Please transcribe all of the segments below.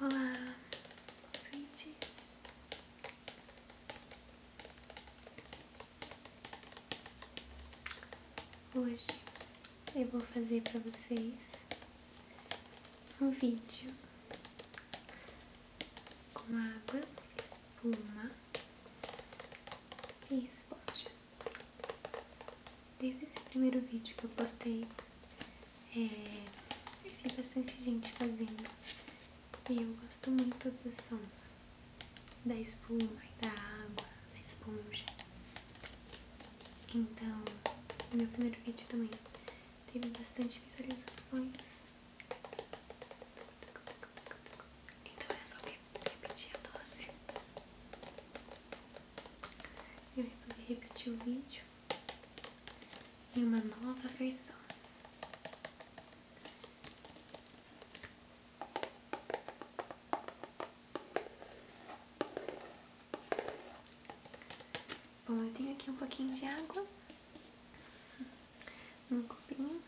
Olá, sweeties. Hoje eu vou fazer para vocês um vídeo com água, espuma e esponja. Desde esse primeiro vídeo que eu postei, é, eu vi bastante gente fazendo e eu gosto muito dos sons da espuma e da água, da esponja. Então, o meu primeiro vídeo também teve bastante visualizações. Então é só ver repetir a dose. Eu resolvi repetir o vídeo em uma nova versão. Bom, eu tenho aqui um pouquinho de água num copinho.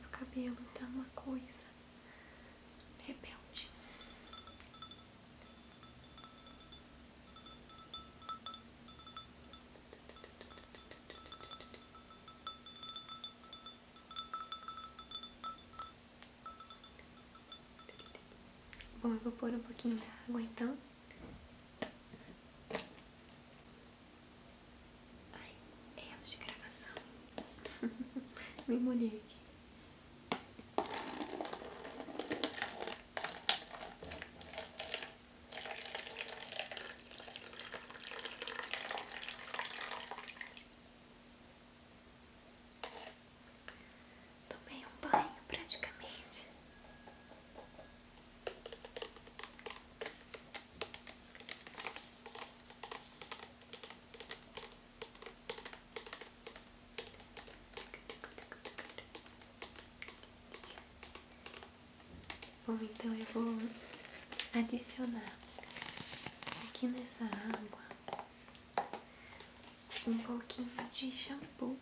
Meu cabelo tá uma coisa rebelde. Tá Bom, eu vou pôr um pouquinho de água então. a hora de gravação. Me molhei aqui. Tomei um banho praticamente. Bom, então eu vou adicionar aqui nessa água um pouquinho de shampoo.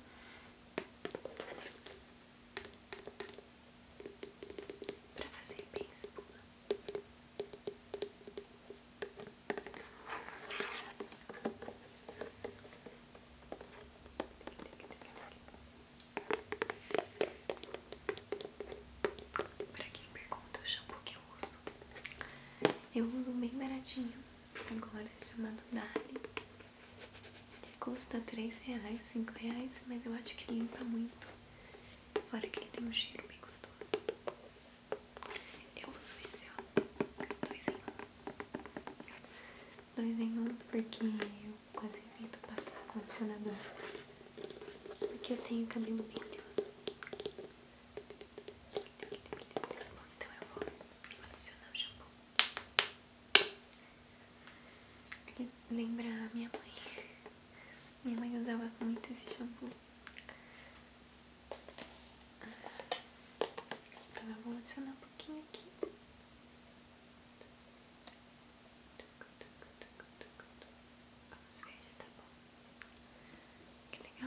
Pra fazer bem espuma. Pra quem pergunta o shampoo que eu uso, eu uso um bem baratinho agora, chamado Dali, que custa 3 reais, 5 reais, mas eu acho que limpa muito, fora que ele tem um cheiro bem gostoso. Eu uso esse, ó, dois em um, dois em um porque eu quase evito passar condicionador. Porque eu tenho cabelo bem oleoso. Então eu vou adicionar o shampoo. Lembrar a minha mãe. Minha mãe usava muito esse shampoo. Então eu vou adicionar um pouquinho aqui. Oh, it's very stable. Can it go?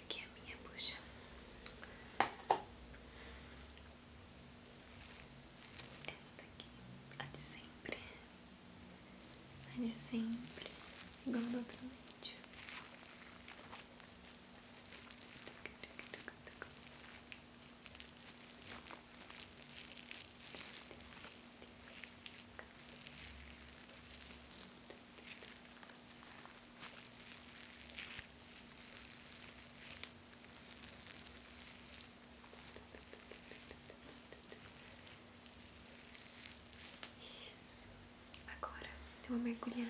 tirar aqui a minha bucha. Essa daqui, a de sempre. A de sempre, igual do outro vídeo. Isso. Agora eu vou mergulhar.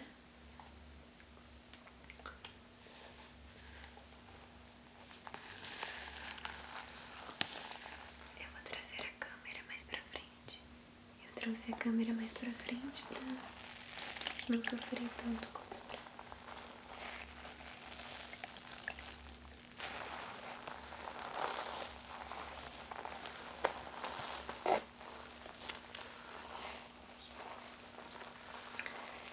Eu vou trazer a câmera mais pra frente. Eu trouxe a câmera mais pra frente pra não sofrer tanto com os braços.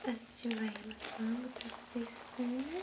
A gente vai relaxando, pra fazer espuma.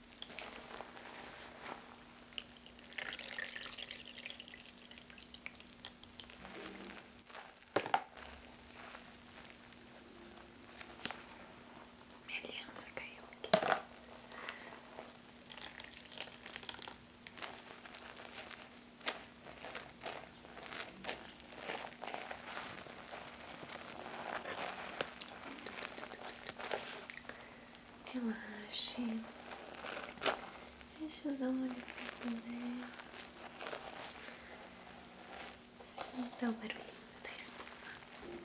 Minha aliança caiu aqui relaxe, feche os olhos se puder, sinta o barulhinho da espuma. Isso.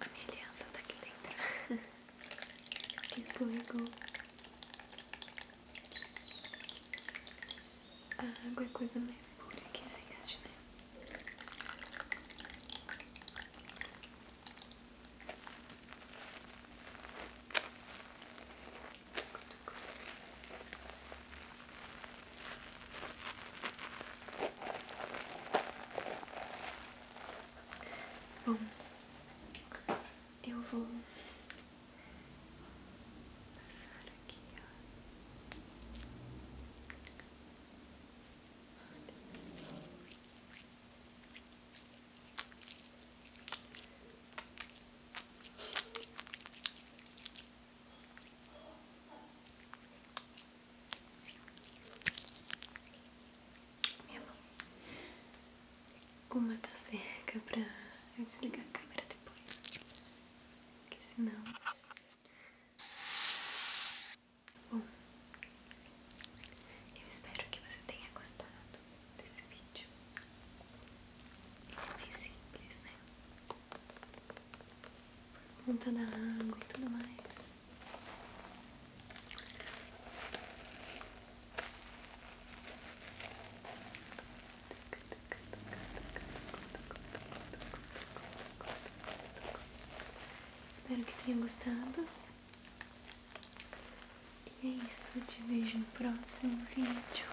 A minha aliança tá aqui dentro. Escorregou. A água é coisa mais pura que existe, né? Bom, eu vou passar aqui, minha mão. Uma tá seca pra eu desligar a câmera depois. Porque senão. Bom, eu espero que você tenha gostado desse vídeo mais simples, né? Por da água e tudo mais. Espero que tenha gostado. E é isso, te vejo no próximo vídeo.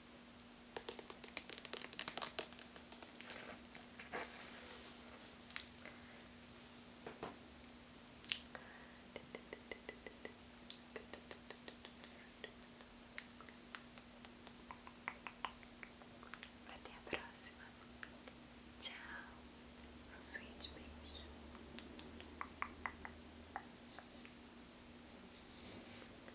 Até a próxima. Tchau. Um sweet beijo.